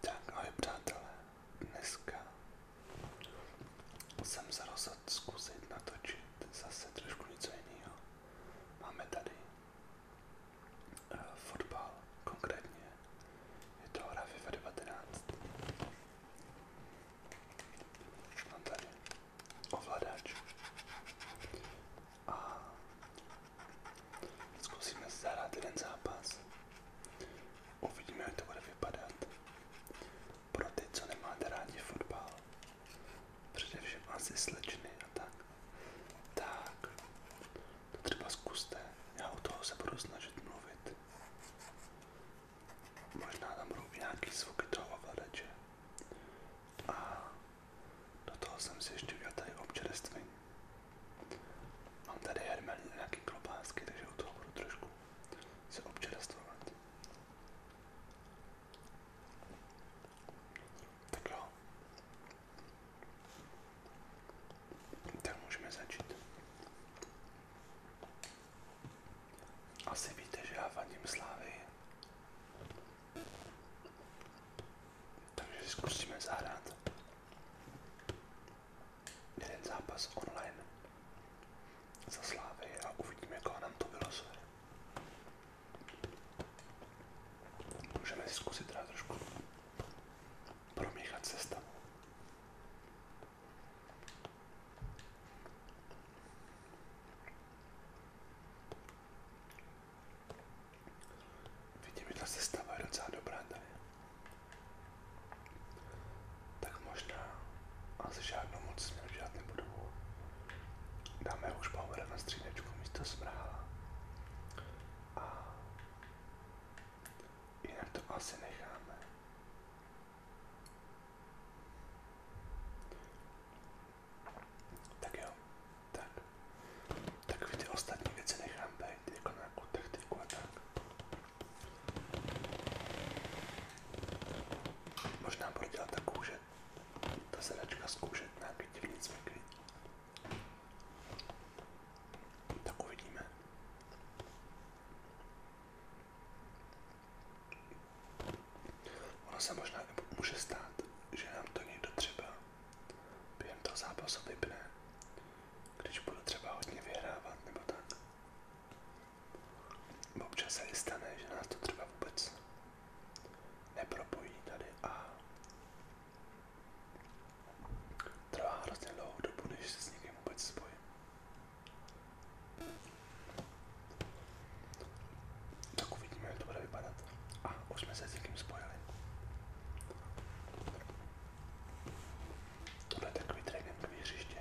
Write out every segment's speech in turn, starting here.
Tak ahoj přátelé, dneska jsem se rozhodl zkusit natočit zase trošku něco jiného. Máme tady uh, fotbal, konkrétně je to hra FIFA 19. Mám tady ovladač a Zkusíme zahrát jeden zápas. Uvidíme, jak to bude vypadat. Pro ty, co nemáte rádi fotbal, asi slečny a tak, tak to třeba zkuste, já u toho se budu mluvit. Možná tam budou nějaký zvuky toho ovladače. A do jsem si ještě udělal Mám tady hermelí a nějaký klobásky, takže u toho budu trošku se občerstvovat. Tak jo. Tak můžeme začít. Asi víte, že já vadím slávy. Takže zkusíme zahrát jeden zápas online za Slávy a uvidíme, koho nám to vylosuje. Můžeme si zkusit teda trošku promíchat sestavu. Vidím, že ta sestava je docela dobrá tady. Tak možná asi žádnou moc s dělat nebudu. Dáme už power na střídečku místo smrála. A jinak to asi necháme. Tak jo, tak. Takový ty ostatní věci nechám být, jako Možná budu dělat takovou, že ta sedačka zkoušet nějaký divný cviky. Tak uvidíme. Ono se možná může stát, že nám to někdo třeba během toho zápasu vypne, když budu třeba hodně vyhrávat nebo tak. Občas se i stane, že nás to třeba vůbec nepropojí tady a trvá hrozně dlouhou dobu, než se s někým vůbec spojím. Tak uvidíme, jak to bude vypadat. A už jsme se s někým spojili. To je takový tréninkový hřiště.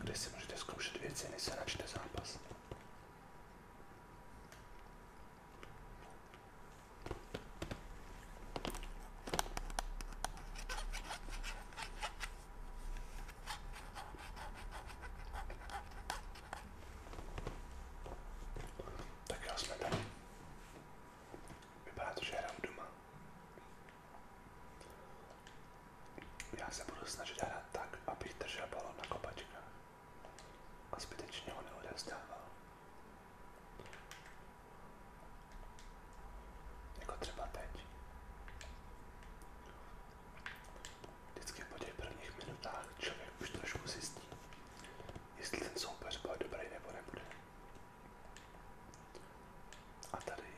Kde si můžete zkoušet věci, než se načte zápas. Tak jo, jsme tady. Vypadá to, že hraju doma. Já se budu snažit hrát tak, abych držel balon na kopačkách a zbytečně ho neodezdával. Jako třeba teď. Vždycky po těch prvních minutách člověk už trošku zjistí, jestli ten soupeř bude dobrý nebo nebude. A tady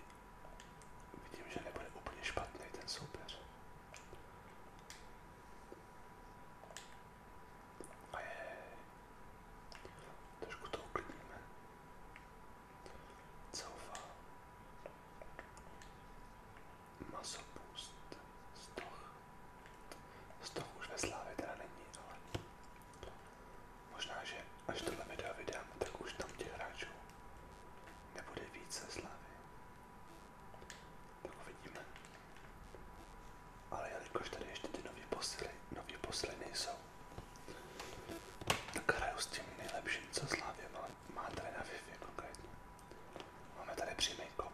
vidím, že nebude úplně špatný ten soupeř. A je, trošku to uklidníme. Couva. Masopust. Stoch. Stoch už ve slávě teda není, ale možná, že až tohle video vydám, tak už tam těch nebude více slávy. Tak uvidíme. Ale jelikož tady ještě ty nové posily, nové posily nejsou, tak hraju s tím nejlepším, co Slávě má, má tady na Wi-Fi konkrétně. Máme tady přímý kop.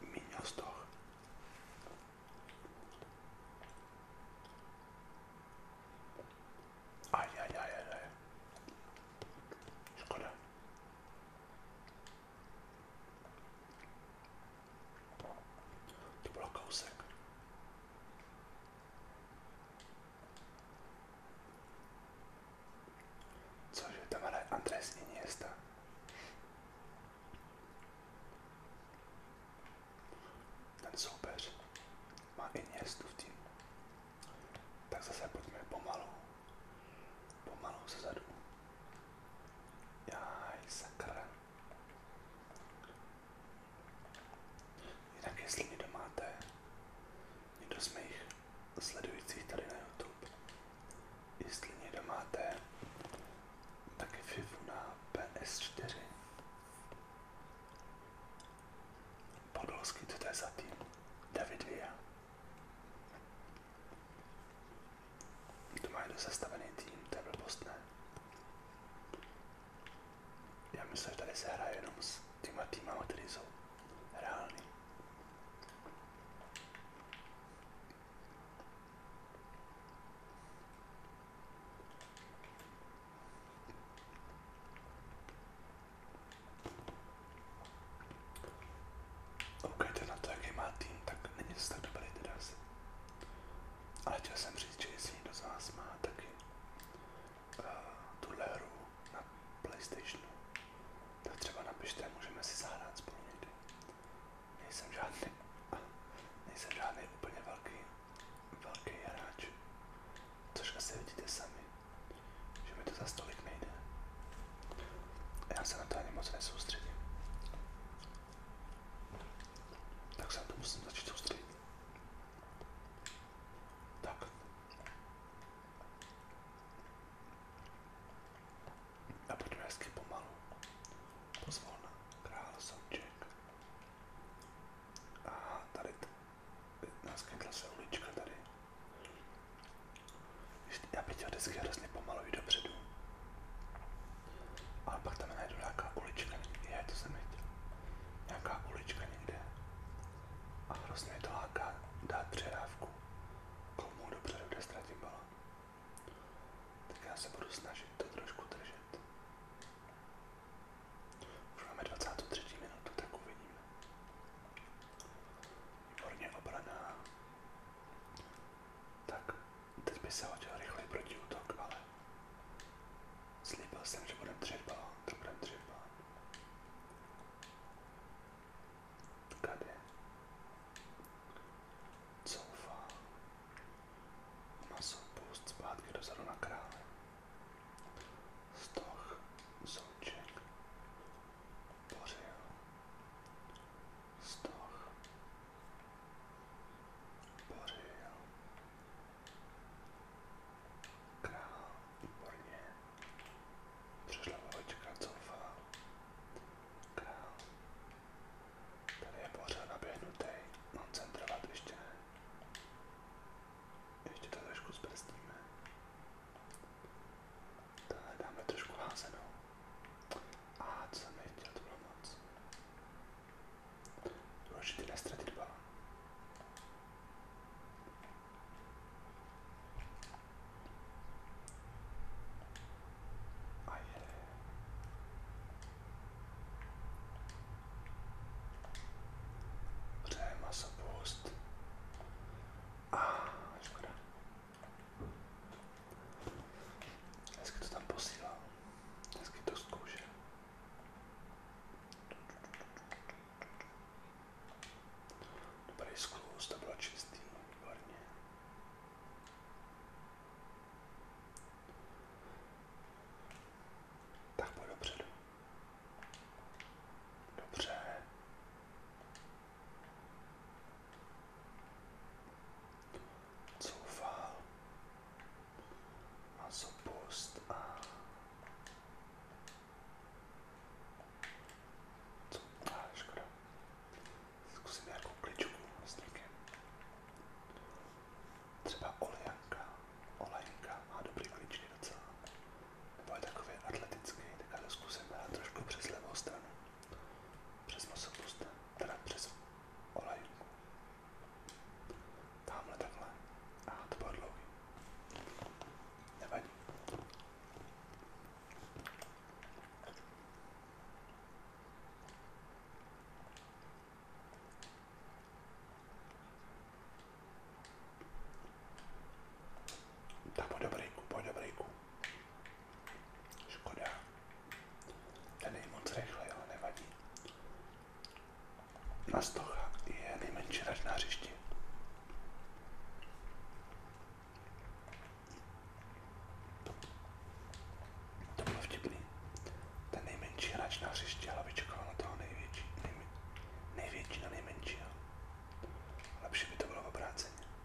Míňo stoch. Aj, aj, aj, aj, aj. Škoda. To bylo kousek. Cože, tam Iniesta. Ten soupeř má Iniestu v týmu. Tak zase pojďme pomalu. Pomalu se zadu. Jaj, sakra. Jinak jestli někdo máte, někdo z mých sledujících tady na YouTube, jestli někdo máte taky FIFU na PS4, Podolský, co to je za tým? David Villa. To má do sestavený tým, to je blbost, ne? Já myslím, že tady se hraje jenom s těma týmama, které jsou reální. Koukajte na to, jaký tak není to tak ale chtěl jsem říct, že jestli někdo z vás má taky uh, eh, tuhle hru na Playstationu, tak třeba napište, můžeme si zahrát spolu někdy. Nejsem žádný, nejsem žádný úplně velký, velký hráč, což asi vidíte sami, že mi to za stolik nejde. Já se na to ani moc nesoustředím. Tak se to musím začít soustředit. Tak. A pojďme hezky pomalu. Pozvolna. Král Souček. A tady naskytla se ulička tady já prý vždycky hrozně pomaluji dopředu. Ale pak tam najdu nějaká ulička někde, je to jsem viděl. Nějaká ulička někde. A hrozně mi to láká dát předávku komu dopředu, kde ztratím balon. Tak já se budu snažit to trošku držet. Už máme 23. minutu, tak uvidíme. Výborně obraná. Tak, teď by se hodil rychlej protiútok, ale slíbil jsem, že budeme třeba, to budeme třeba. Tady. Coufá. Maso pust zpátky dozadu na krále. Stoch, souček, bořil stoch, bořil král, výborně, přišla vločka, coufa, král, tady je pořád naběhnutý, mám centrovat ještě ne. Ještě to trošku zbrzdíme. Tohle dáme trošku házenou. A co jsem nechtěl, to bylo moc. Důležité nestratit balon. A jede. Přeje masopust. A ah, škoda. Hezky to tam posílám. Hezky to zkouším. Dobrý sklus, to bylo čistý, výborně. Tak pojď dopředu. Dobře. Zoufal a zopust a co? Ah, zkusím nějakou kličku Třeba olejanka. Olejnka má dobrý kličky docela. Nebo je takový atletický, tak zkusím dát trošku přes levou stranu přes Mosobust, teda přes Olejunku. Tamhle takhle. A to bylo dlouhý. Nevadí. Tak po dobrejku, po dobrejku. Škoda. Ten je moc rychlej, ale nevadí. Na stocha je nejmenší rač na hřišti. To bylo vtipný. Ten nejmenší hráč na hřišti, ale vyčekal na toho největší, největší na nejmenšího. Lepší by to bylo obráceně.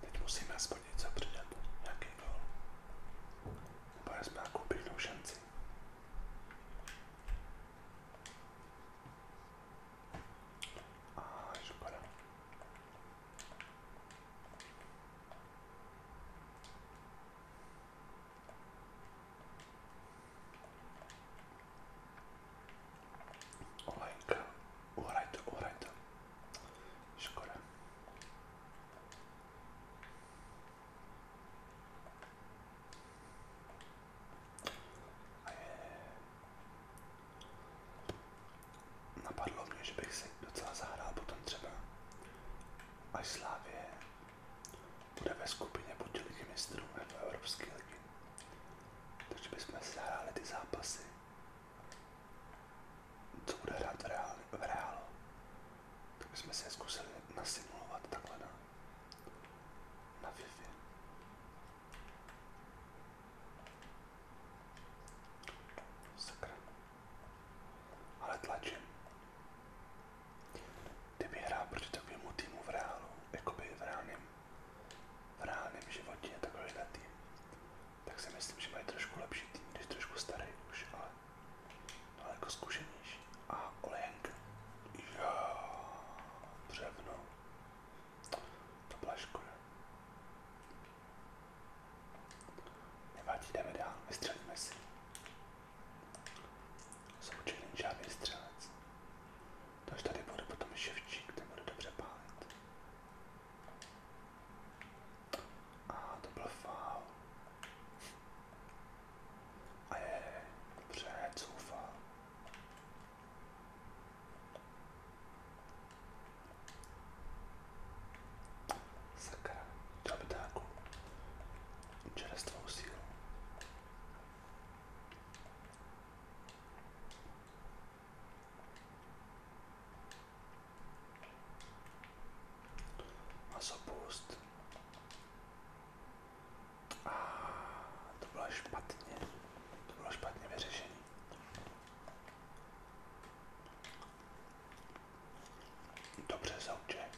Teď musíme aspoň něco přidat, nějaký gol. Nebo jsme nějakou pěknou šanci. A škoda. Olejka. Uhrajte, uhrajte. Škoda. Napadlo mě, že bych si docela zahrál potom třeba až Slávě bude ve skupině buď ligy mistrů Evropské ligy. Takže bychom si zahráli ty zápasy co bude hrát v, reál, v reálu. Tak jsme si zkusili nasimulovat takhle na, no. na Wi-Fi. Sakra. Ale tlačím. Kdyby hrál proti takovému týmu v reálu, jakoby v reálném reálném životě takovýhle tým, tak si myslím, že mají trošku lepší tým, když trošku starý už, ale daleko zkušenější. A Olejenka. Jo, břevno. To byla škoda. Nevadí, jdeme dál, vystřelíme si. Součený žádný střelec. To už tady bude potom ševčík, ten bude dobře pálit. A ah, to byl faul. A je, dobře, coufal. Sakra, to by dáku. Čerstvou sílu. Masopust. A to bylo špatně. To bylo špatně vyřešené. Dobře, Souček.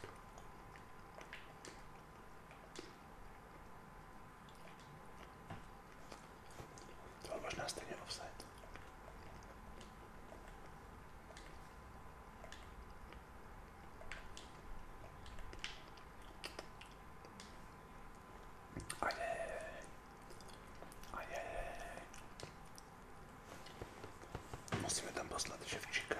To byl možná stejně offside. A je, a je. Musíme tam poslat Ševčíka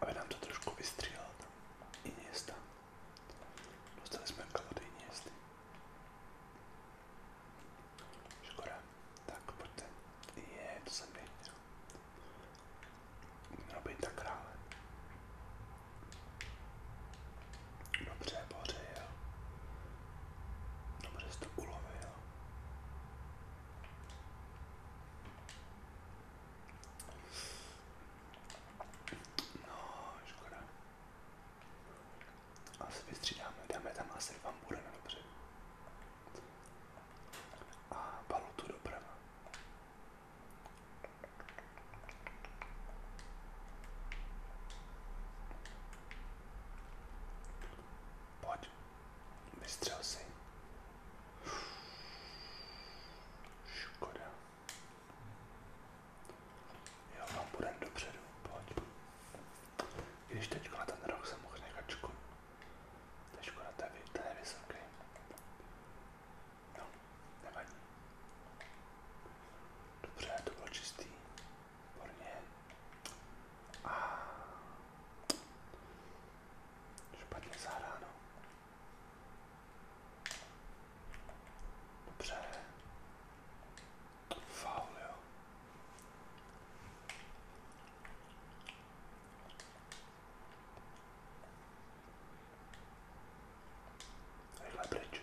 aby nám to trošku vystřílel i města. Dostali jsme kalody i městy. Škoda. Tak pojďte. Je, to jsem nechtěl. Měl být tak krále. Dobře, boře, jo. Dobře jsi to ulovil. No, škoda. Asi vystřídáme, dáme tam asi vám bude na dobře. A balutu doprava. Pojď. Vystřel si. Škoda. Jo, vám no, půjdem dopředu. Pojď. Když teďko na ten roh jsem mohl nechat škodu. To je škoda, to je, to No, nevadí. Dobře, to bylo Výborně. A špatně zahráno. Dobře. Faul, jo. Rychle pryč.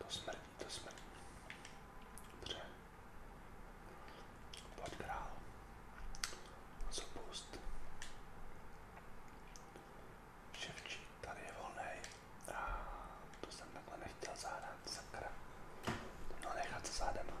To smrdí, to smrdí. Dobře. Pojď král. Zapust. Ševčík, tady je volnej. A to jsem takhle nechtěl zadat, sakra. No nechat se zádema.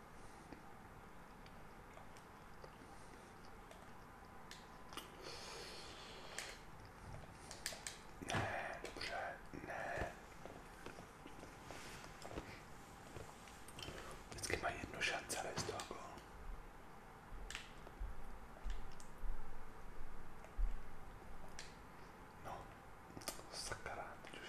Ne, dobře, ne. Vždycky mají jednu šanci, ale z toho No, sakra, už.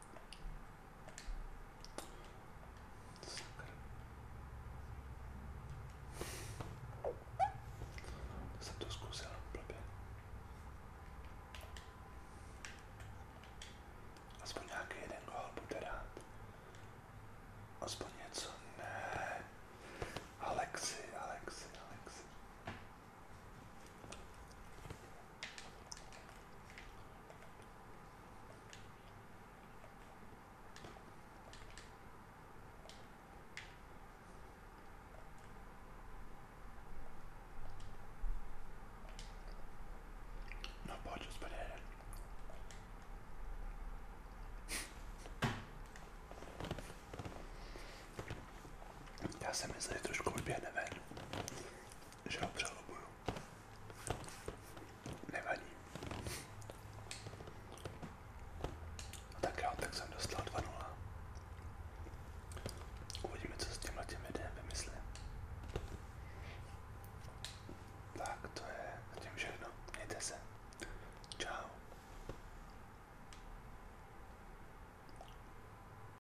Jsem to zkusil blbě. Aspoň nějaký jeden gol bude rád. Aspoň něco ne. Alexi, Alexi, Alexi. Não pode espalhar. Essa mesa eletrônica ficou bem, né, velho? že ho přelobuju. Nevadí. No tak jo, tak jsem dostal 2-0. Uvidíme, co s tímhle tím videem vymyslím. Tak to je zatím všechno. Mějte se. Čau.